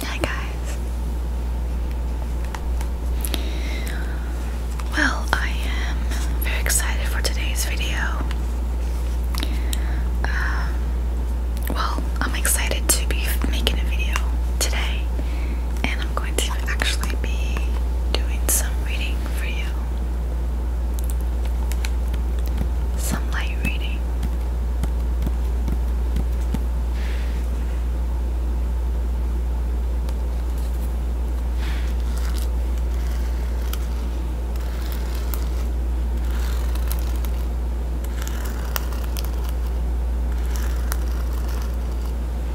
Hi guys. Well, I am very excited for today's video. Um, well, I'm excited to be making a video today, and I'm going to actually be doing some reading for you. Some light reading.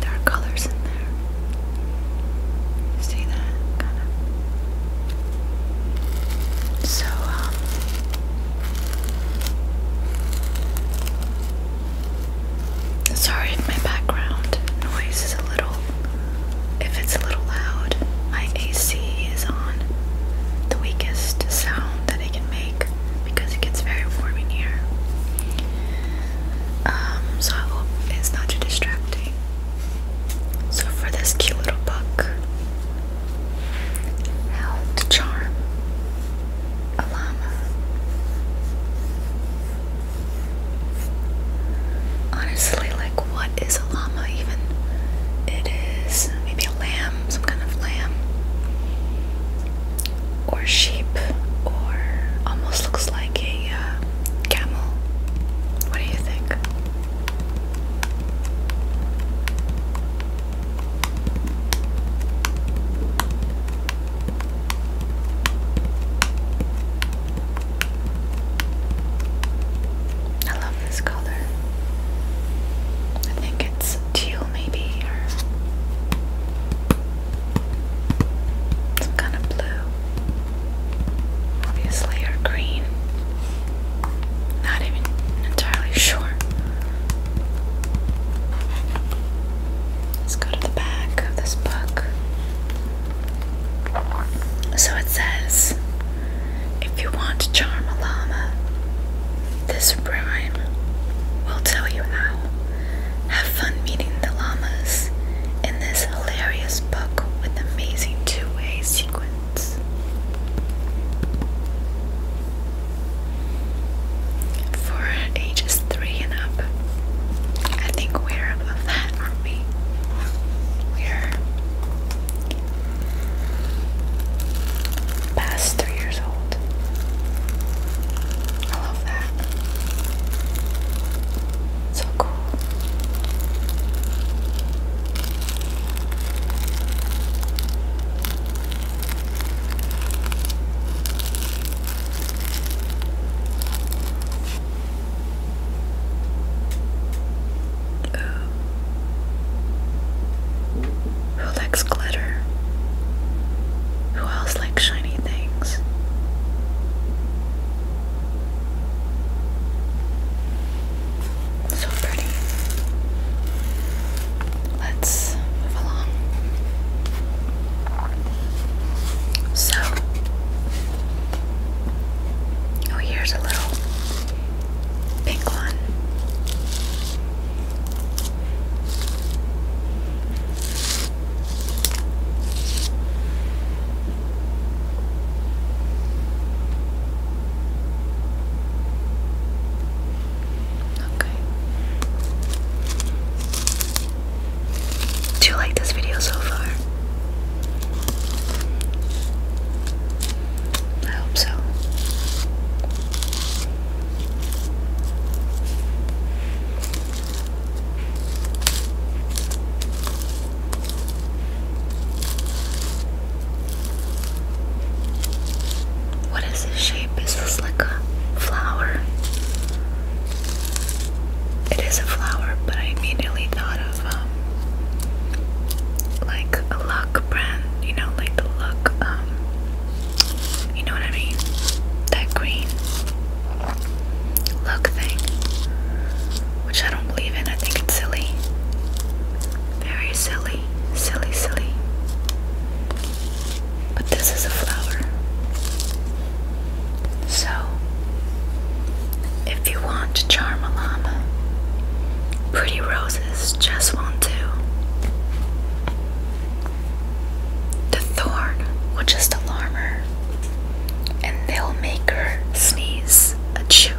There are colors in there. see that? Kind of. So, um. Sorry my background noise is a little. If it's a little loud, my AC is on the weakest sound that it can make because it gets very warm in here. Um, so I hope it's not too distracting. So for this cute little book, how charm a llama. Honestly, like what is a llama even? It is maybe a lamb, some kind of lamb or sheep or almost looks like a uh, camel. What do you think? I love this color. I think it's teal maybe or some kind of blue obviously or green not even entirely sure let's go to the back of this book so it says if you want to charm a llama this rhyme will tell you how. Have fun meeting the llamas in this hilarious book with amazing two-way sequence. For ages three and up, I think we're above that, aren't We're past three years old. I love that. So cool. Ooh, who likes glitter? Who else likes shiny things? So pretty. Let's move along. So, oh, here's a little pink one. Okay. Do you like this video so far? I hope so. What is this shape? Is this like a flower? It is a flower, but I immediately thought of um, like a lock brand you know, like the look, um, you know what I mean? That green look thing, which I don't believe in. I think it's silly. Very silly, silly, silly. But this is a flower. So, if you want to charm a llama, pretty rose just won't do. The thorn will just alarm her, and they'll make her sneeze. A chew.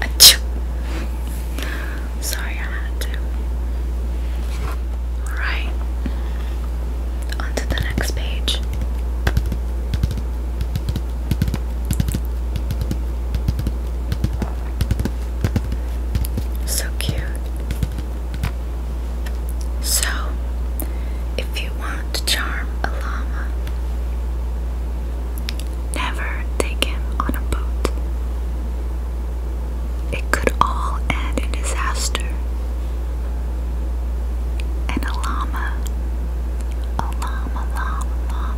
A chew. Sorry, I had to. Alright. On to the next page. So cute. So, if you want to charm a llama, never take him on a boat. It could all end in disaster. And a llama, a llama, llama, llama,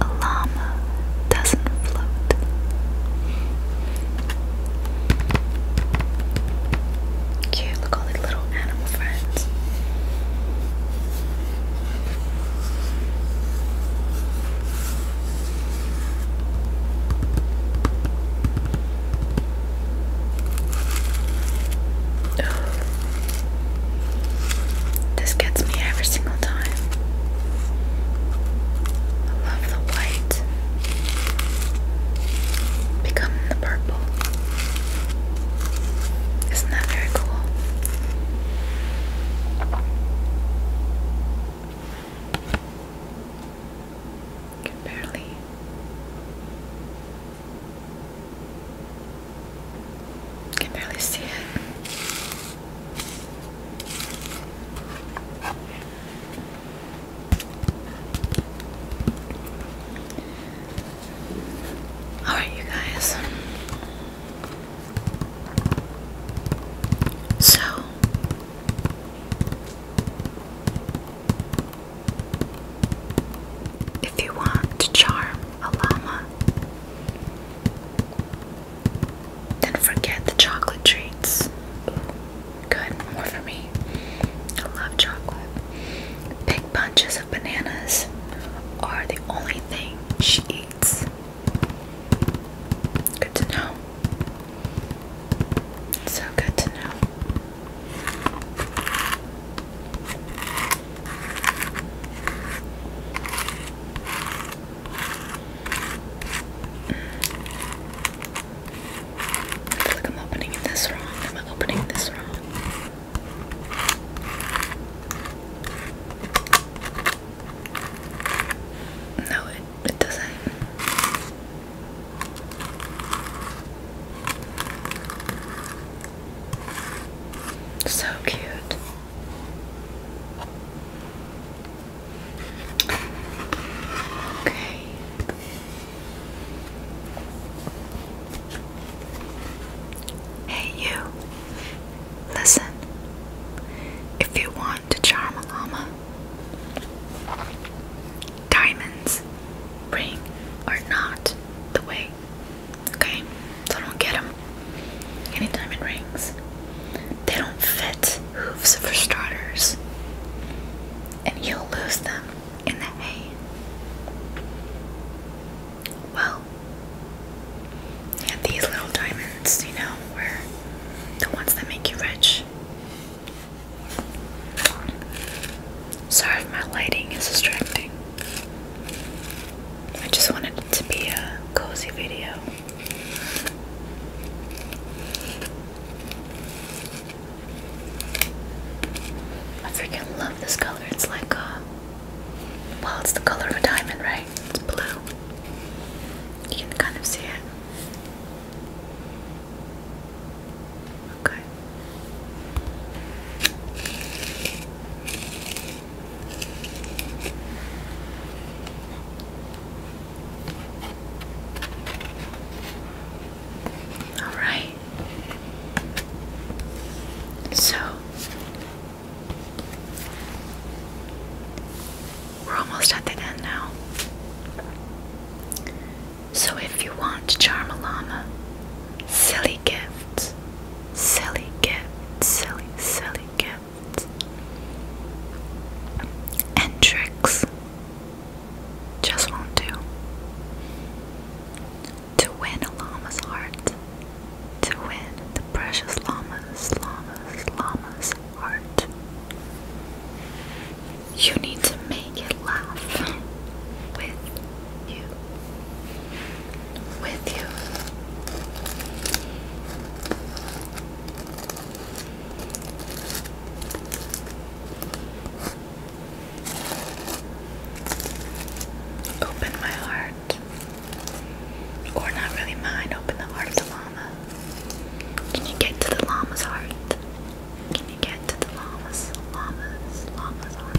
a llama doesn't float. Cute, little animal friends. This gets me every single time. I love the white becoming the purple. Isn't that very cool? can barely can barely see it. All right, you guys. So if you want to charm a llama, then forget the chocolate treats. Good, more for me. I love chocolate. Big bunches of bananas are the only thing she eats. Good to know. So good to know. I feel like I'm opening this wrong. Am I opening this wrong? No, it, it doesn't. So cute. Hey, you. Listen. If you want to charm a llama, diamonds, ring, or not, the way Okay, so don't get them anytime it rings. They don't fit hooves for starters, and you'll lose them in the hay. Well, yeah, these little diamonds, you know, were the ones that make you rich. Sorry if my lighting is distracting. I just wanted it to be a cozy video. I freaking love this color. It's like a uh, well, it's the color of a diamond, right? It's blue. You can kind of see it. Okay. All right. So we're almost at the end now. So if you want to charm a llama, silly silly gifts, silly gifts, silly, silly gifts, and tricks just won't To win a llama's heart, to win the precious llama's, llama's, llama's heart. You need to make it laugh with you with you. Open my heart. Or not really mine, open the heart of the llama. Can you get to the llama's heart? Can you get to the llama's, llama's, llama's heart?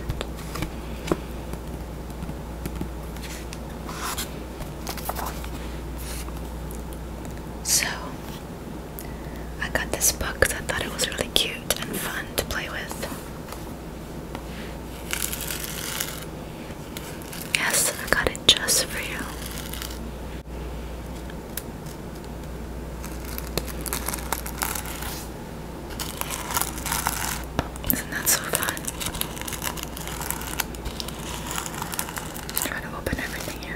So, I got this book that I thought it was really cute and fun to play with. Yes, I got it just for you. Isn't that so fun? Try to open everything here.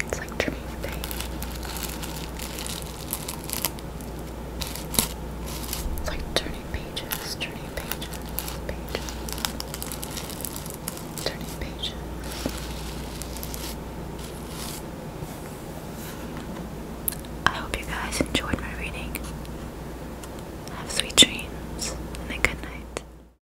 It's like trimming things. It's like turning pages, turning pages, pages, turning pages. I hope you guys enjoyed my reading. Have sweet dreams and a good night.